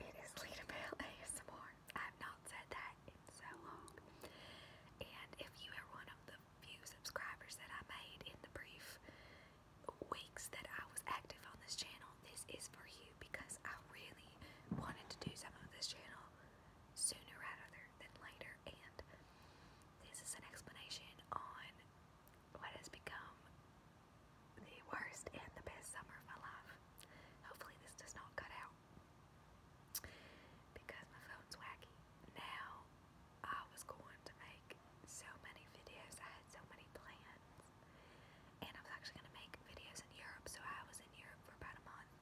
It is Lita Bell ASMR. I have not said that in so long. And if you are one of the few subscribers that I made in the brief weeks that I was active on this channel, this is for you because I really wanted to do some of this channel sooner rather than later. And this is an explanation on what has become the worst and the best summer of my life. Hopefully, this does not cut out because my phone's wacky. Now, I was going to make so many videos, I had so many plans, and I was actually going to make videos in Europe, so I was in Europe for about a month.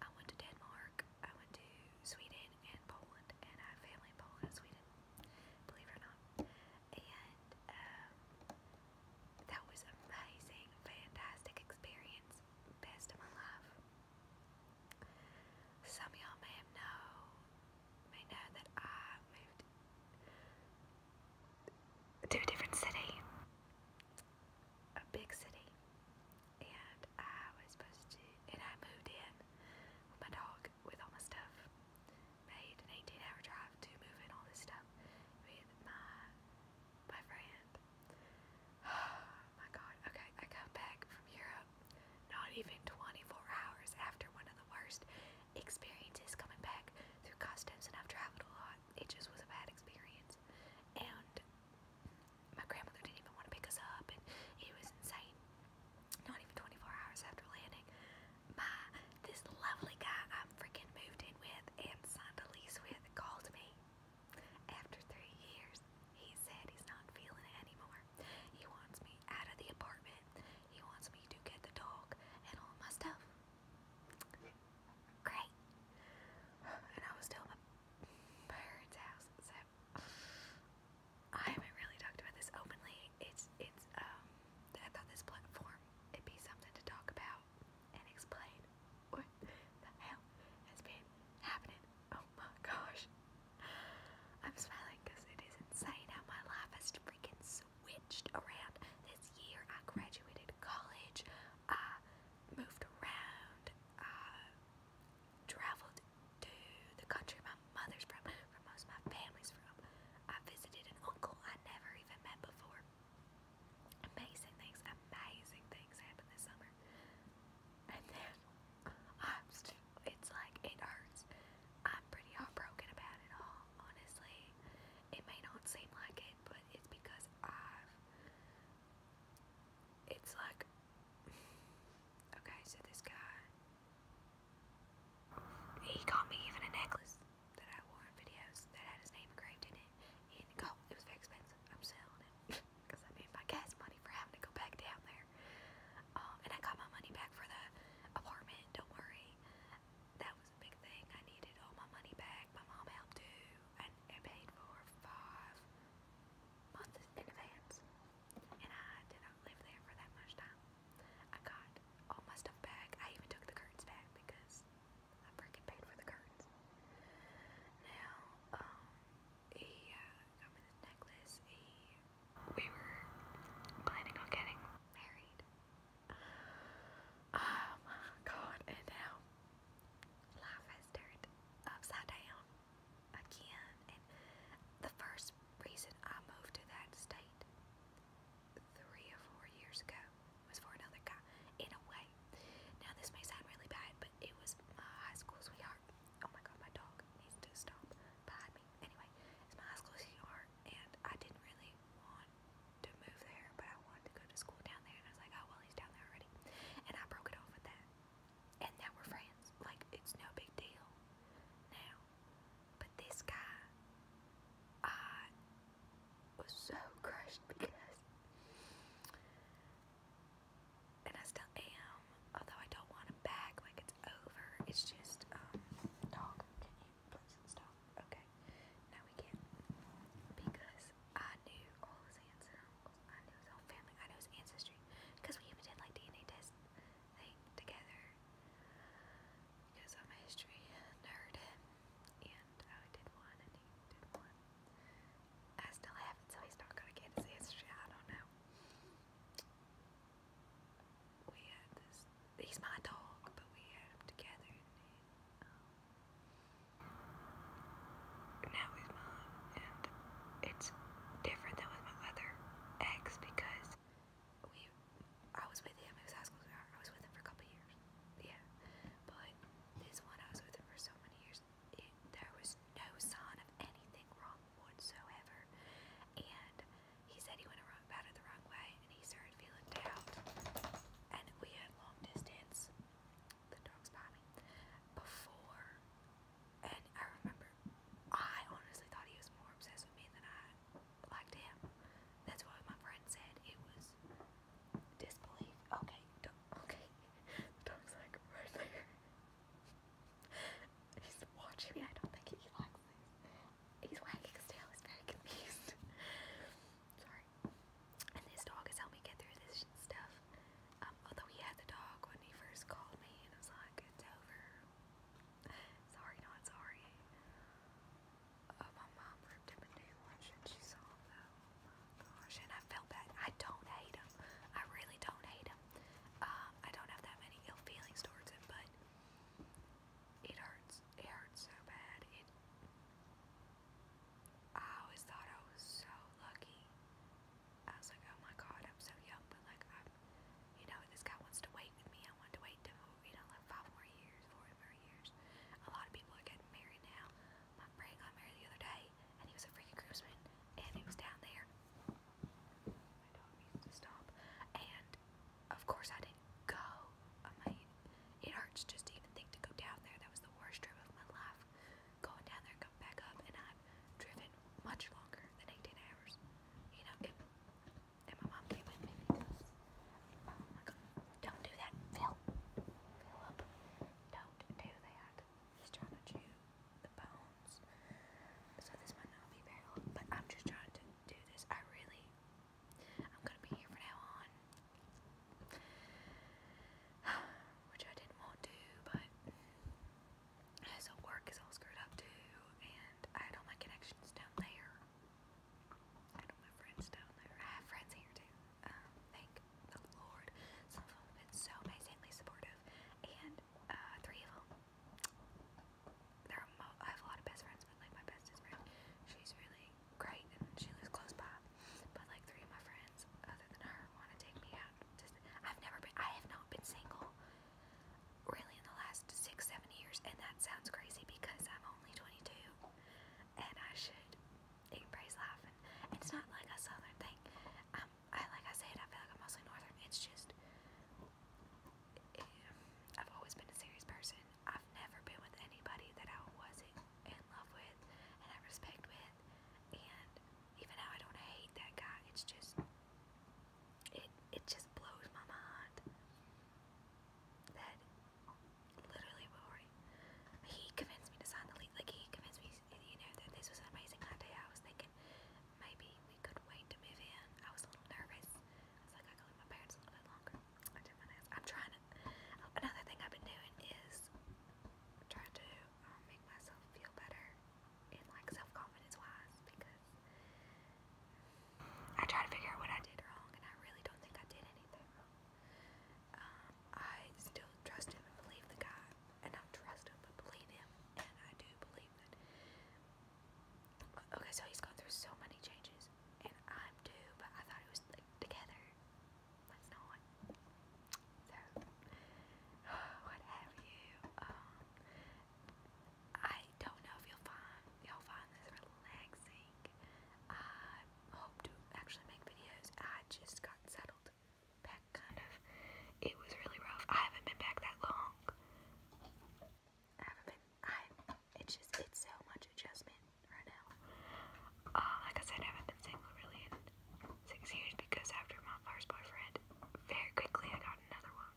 I went to Denmark, I went to Sweden and Poland, and I family Poland Sweden believe it or not. And um, that was amazing, fantastic experience, best of my life. Some y'all may know, may know that I moved to a different city, a big city, and I was supposed to, and I moved in with my dog, with all my stuff. Made an 18 hour drive to move in all this stuff with my my friend. my god. Okay, I come back from Europe not even 24 hours after one of the worst experiences coming back through customs and I've traveled a lot. It just was a bad experience. And my grandmother didn't even want to pick us up and it was insane not even 24 hours after landing, my this lovely guy I'm freaking moved in with and signed a lease with called me. After three years, he said he's not feeling it anymore. He wants me out of the apartment. He wants me to get the dog and all my stuff. Great. And I was still at my parents' house, so I haven't really talked about this openly. It's it's um I thought this platform it'd be something to talk about and explain what the hell has been happening. Oh my gosh. I'm smiling because it is insane how my life has freaking switched around this year. I graduated college. I moved around. I traveled to the country my mother's from, from most of my family's from. I visited an uncle I never even met before. Amazing things, amazing things happened this summer. And then I'm still, it's like it hurts. I'm pretty heartbroken about it all, honestly. It may not seem like it, but it's because I've, it's like, okay, so this guy he got me even a necklace that I wore in videos that had his name engraved in it. And oh, it was very expensive. I'm selling it because I made my gas money for having to go back down there. Um, and I got my money back for the apartment. Don't worry, that was a big thing. I needed all my money back. My mom helped too, I paid for five months in advance. And I did not live there for that much time. I got all my stuff back. I even took the curtains back because I freaking paid for the curtains. Now, um, he uh, necklace. we were planning on getting married. Oh my god, and now life has turned upside down again. And the first reason I moved to that state three or four years ago was for another guy, in a way. Now, this may sound really bad, but it was my high school sweetheart. Oh my god, my dog needs to stop behind me. Anyway, it's my high school sweetheart, and I didn't really want to move there, but I wanted to go to school down there, and I was like, oh, well, he's down there already. And I broke it off with that. And now we're friends. Like, it's no big deal now. But this guy, I was so crushed because, and I still am, although I don't want him back, like it's over. It's just, um, dog, can you please stop? Okay, no we can't. Because I knew all his aunts I knew his whole family, I knew his ancestry, because we even did like DNA tests thing together because I'm a history nerd and I did one and he did one. I still haven't, so he's not gonna get his history. I don't know. We had this. He's my dog, but we had him together. Um, now he's mine, it's different than with my other ex because we, I was with him, it was high school, I was with him for a couple years, yeah, but this one, I was with him for so many years, there was no sign of anything wrong whatsoever, and he said he went around, about it the wrong way, and he started feeling doubt, and we had long distance, the dog's by before and I remember, I honestly thought he was more obsessed with me than I liked him. That's why my friend said it was disbelief. Okay, okay. Dog's like right there. He's watching me. I don't think he likes this. He's wagging his tail. He's very confused. Sorry. And this dog has helped me get through this stuff. Um, although he had the dog when he first called me, and I was like, it's over sorry, not sorry. Uh, my mom ripped him a new she saw him Gosh, and I felt bad. I don't hate him. I really don't hate him. Um, I don't have that many ill feelings towards him, but it hurts. It hurts so bad. It. I always thought I was so lucky. I was like, oh my god, I'm so young, but like I'm you know, this guy wants to wait with me. I want to wait you know, like five more years, four more years. A lot of people are getting married now. My friend got married the other day, and he was a freaking groomsman, and he was down there. My dog needs to stop. And, of course, I didn't go. I mean, it hurts just to even think to go down there. That was the worst trip of my life. Going down there and coming back up, and I've driven much longer than 18 hours. You know, and my mom came with me because, oh don't do that, Phil. Philip, don't do that. He's trying to chew the bones. So this might not be very but I'm just trying to do this. I really, I'm gonna be here from now on. Which I didn't want to, but so work is all screwed up too, and I had all my connections down there. I had all my friends down there. I have friends here too. Um, thank the Lord. Some of them have been so amazingly supportive, and uh, three of them. There are mo I have a lot of best friends, but like my bestest friend, she's really great and she lives close by. But like three of my friends, other than her, want to take me out. Just I've never been. I have not been single really in the last six, seven years. And that sounds crazy because I'm only 22 and I should embrace life. And it's not like a southern thing. Um, I like I said, I feel like I'm mostly northern. It's just it, eh, I've always been a serious person. I've never been with anybody that I wasn't in love with and I respect with. And even now, I don't hate that guy. It's just it it just blows my mind that literally Rory he convinced me to sign the lease. Like he convinced me, you know, that this was an amazing idea. I was thinking maybe we could wait to move in. I was a little nervous. I was like, I can my parents a little bit longer. I did my nails. I'm trying Another thing I've been doing is trying to um, make myself feel better in like self-confidence wise because I try to figure out what I did wrong and I really don't think I did anything wrong. Um, I still trust him and believe the guy and not trust him but believe him and I do believe that okay so he's gone through so many changes and I'm too but I thought it was like together. But it's not. So what Um I don't know if you'll find y'all find this relaxing. I hope to actually make videos. I just got settled back kind of. It was really rough. I haven't been back that long. haven't been I it's just it's so much adjustment right now. Uh, like I said, haven't been single really in six years because after my first boyfriend, very quickly I got another one.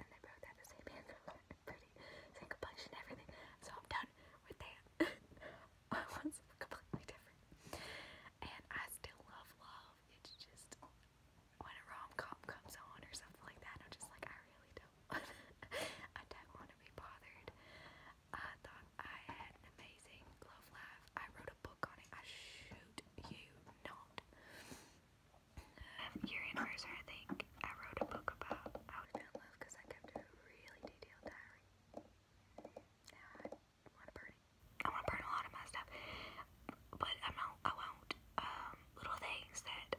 And they both have same hand pretty same complexion and everything. So I'm done with that. One's completely different. And I still love love. It's just when a rom com comes on or something like that, I'm just like I really don't I don't want to be bothered. I thought I had an amazing love life. I wrote a book on it. I shoot you not year anniversary, I think, I wrote a book about how to fell in love because I kept a really detailed diary. I want to burn a lot of my stuff, but I'm not, I won't. Um, little things that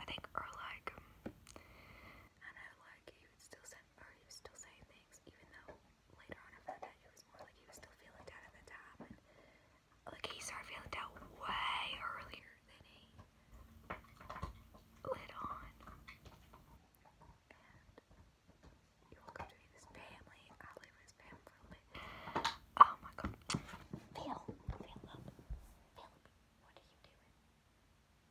I think are like, um, I like he still say, or he still saying things, even though later on I found out it was more like he was still feeling down at the time, like he started feeling down way earlier than he lit on. you welcome to his family. I live with his family Oh my god. Phil, Phil Phil, what are you doing?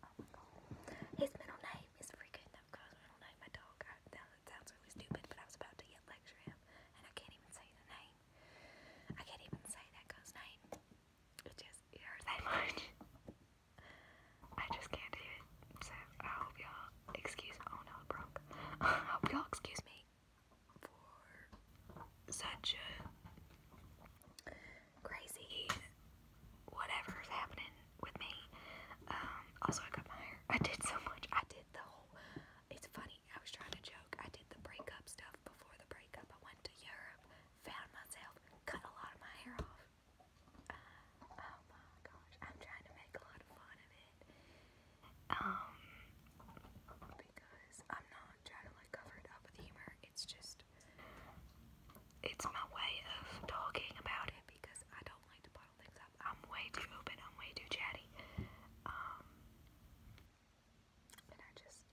Oh my god. His middle name is freaking up because I do my dog. that sounds really stupid, but I was about to lecture him, and I can't even say the name. I can't even say that guy's name. It just it hurts that much. I just can't do it. So I hope y'all excuse. Oh no, it broke. I hope y'all excuse me for such a crazy whatever's happening with me. Um, also, I cut my hair. I did so much. I did the whole. It's funny I was trying to joke. I did the breakup stuff before the breakup. I went to Europe, found myself, cut a lot of my hair off. Uh, oh my gosh, I'm trying to make a lot of fun of it. Um, because I'm not trying to like cover it up with humor. It's just, it's my way of talking about it because I don't like to. I'm way too open. I'm way too chatty. Um, and I just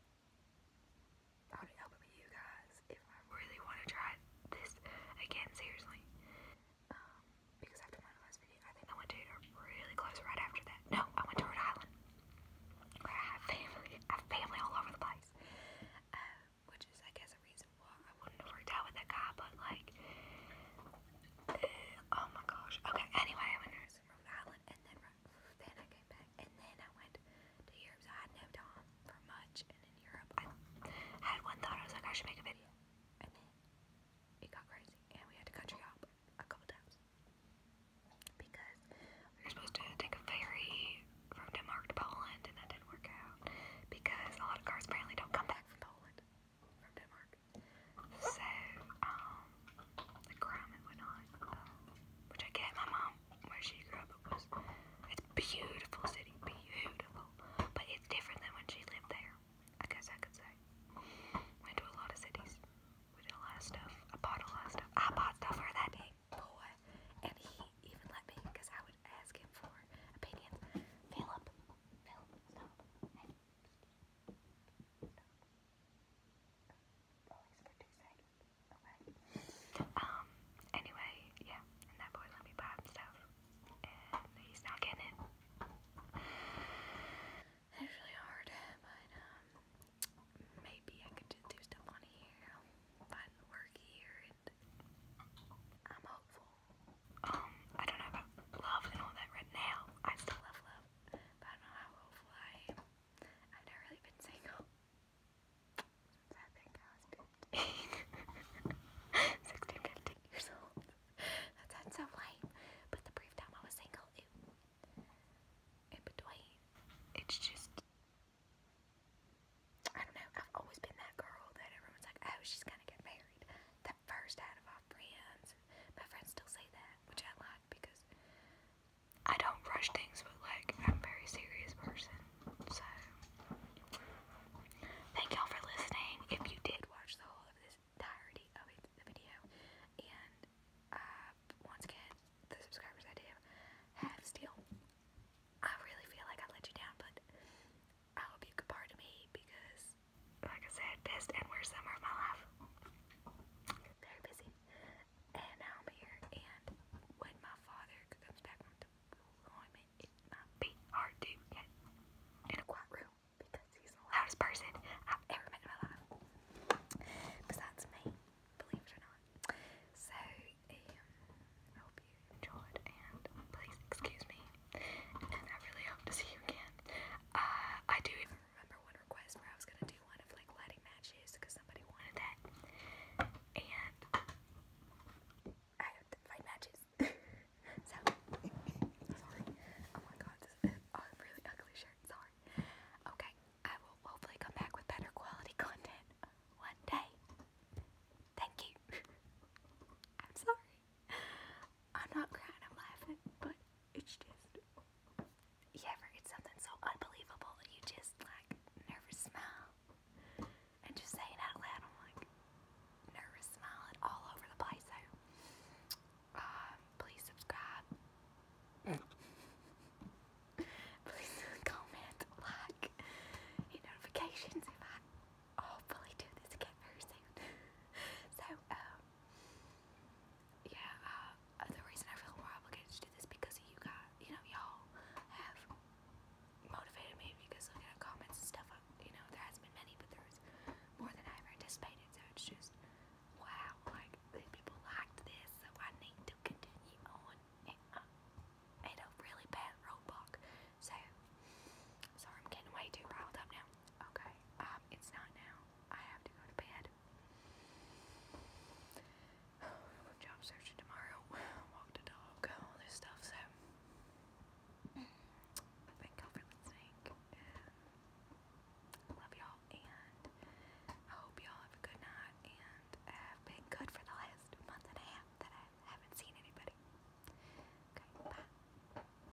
thought it'd with you guys if I really want to try this again, seriously. Um, because after my last video, I think I went to really close right after that. No, I went to Rhode Island. Where I have family, I have family all over the place. Uh, which is, I guess, a reason why I wouldn't have worked out with that guy, but like, oh my gosh. Okay, anyway, I went nursing from Ireland and then then I came back and then I went to Europe I had no time for much and in Europe I had one thought, I was like I should make a video. And then it got crazy and we had to country hop a couple times. Because we were supposed to take a ferry from Denmark to Poland and that didn't work out because a lot of cars apparently don't come back from Poland from Denmark. So, um, the crime went on, um, which I get my mom, where she grew up, was, it's beautiful city, beautiful, but it's different than when she lived there, I guess I could say. Went to a lot of cities, did a lot of stuff, bought a lot of stuff, I bought stuff for that day, boy, and he even let me, because I would ask him for opinions. Philip, Philip, stop, hey, Always for Um, anyway, yeah, and that boy let me buy stuff. And he's not getting it. It's really hard, but um, maybe I could just do stuff on here. Find work here and I'm hopeful um, I don't know about love and all that right now. I still love love, but I don't know how hopeful I am. I've never really been single since I think I was 15. years old. That sounds so lame, but the brief time I was single, in between, it's just, I don't know, I've always been that girl that everyone's like, oh, she's gonna get married. The first out of our friends, my friends still say that, which I like because I don't rush things, but like I'm very serious person. So thank y'all for listening. If you did watch the whole of this entirety of the video, and uh, once again, the subscribers I do have still, I really feel like I let you down, but I hope you could pardon me because like I said, best and worst summer of my life. Very busy. And now I'm here, and when my father comes back from deployment, it might be hard to get in a quiet room because he's the loudest person I've ever met in my life. Besides me, believe it or not. So, um, I hope you enjoyed, and please excuse me and I really hope to see you again. Uh, I do even remember one request where I was gonna do one of like lighting matches because somebody wanted that, and I have to fight matches. so sorry. Oh my god, this is a really ugly shirt. Sorry. Okay, I will hopefully come back with better quality content one day. Thank you. I'm sorry. I'm not crying, I'm laughing, but it's just, you ever get something so unbelievable that you just like nervous smile? And just saying out loud, I'm like nervous smiling all over the place. So, um, please subscribe. please comment, like, and notifications if I hopefully oh, do this again very soon. so, um, yeah, uh, the reason I feel more obligated to do this because you got, you know, y'all have motivated me because looking at comments and stuff, uh, you know, there hasn't been many, but there's more than I've anticipated, so it's just, wow, like, these people liked this, so I need to continue on. And I uh, made a really bad roadblock, so, sorry, I'm getting way too riled up now. Okay, um, it's not now. I have to go to bed. Job searching tomorrow. Walk the dog, all this stuff, so thank y'all for listening. Um, love y'all, and I hope y'all have a good night, and I've been good for the last month and a half that I haven't seen anybody. Okay, bye.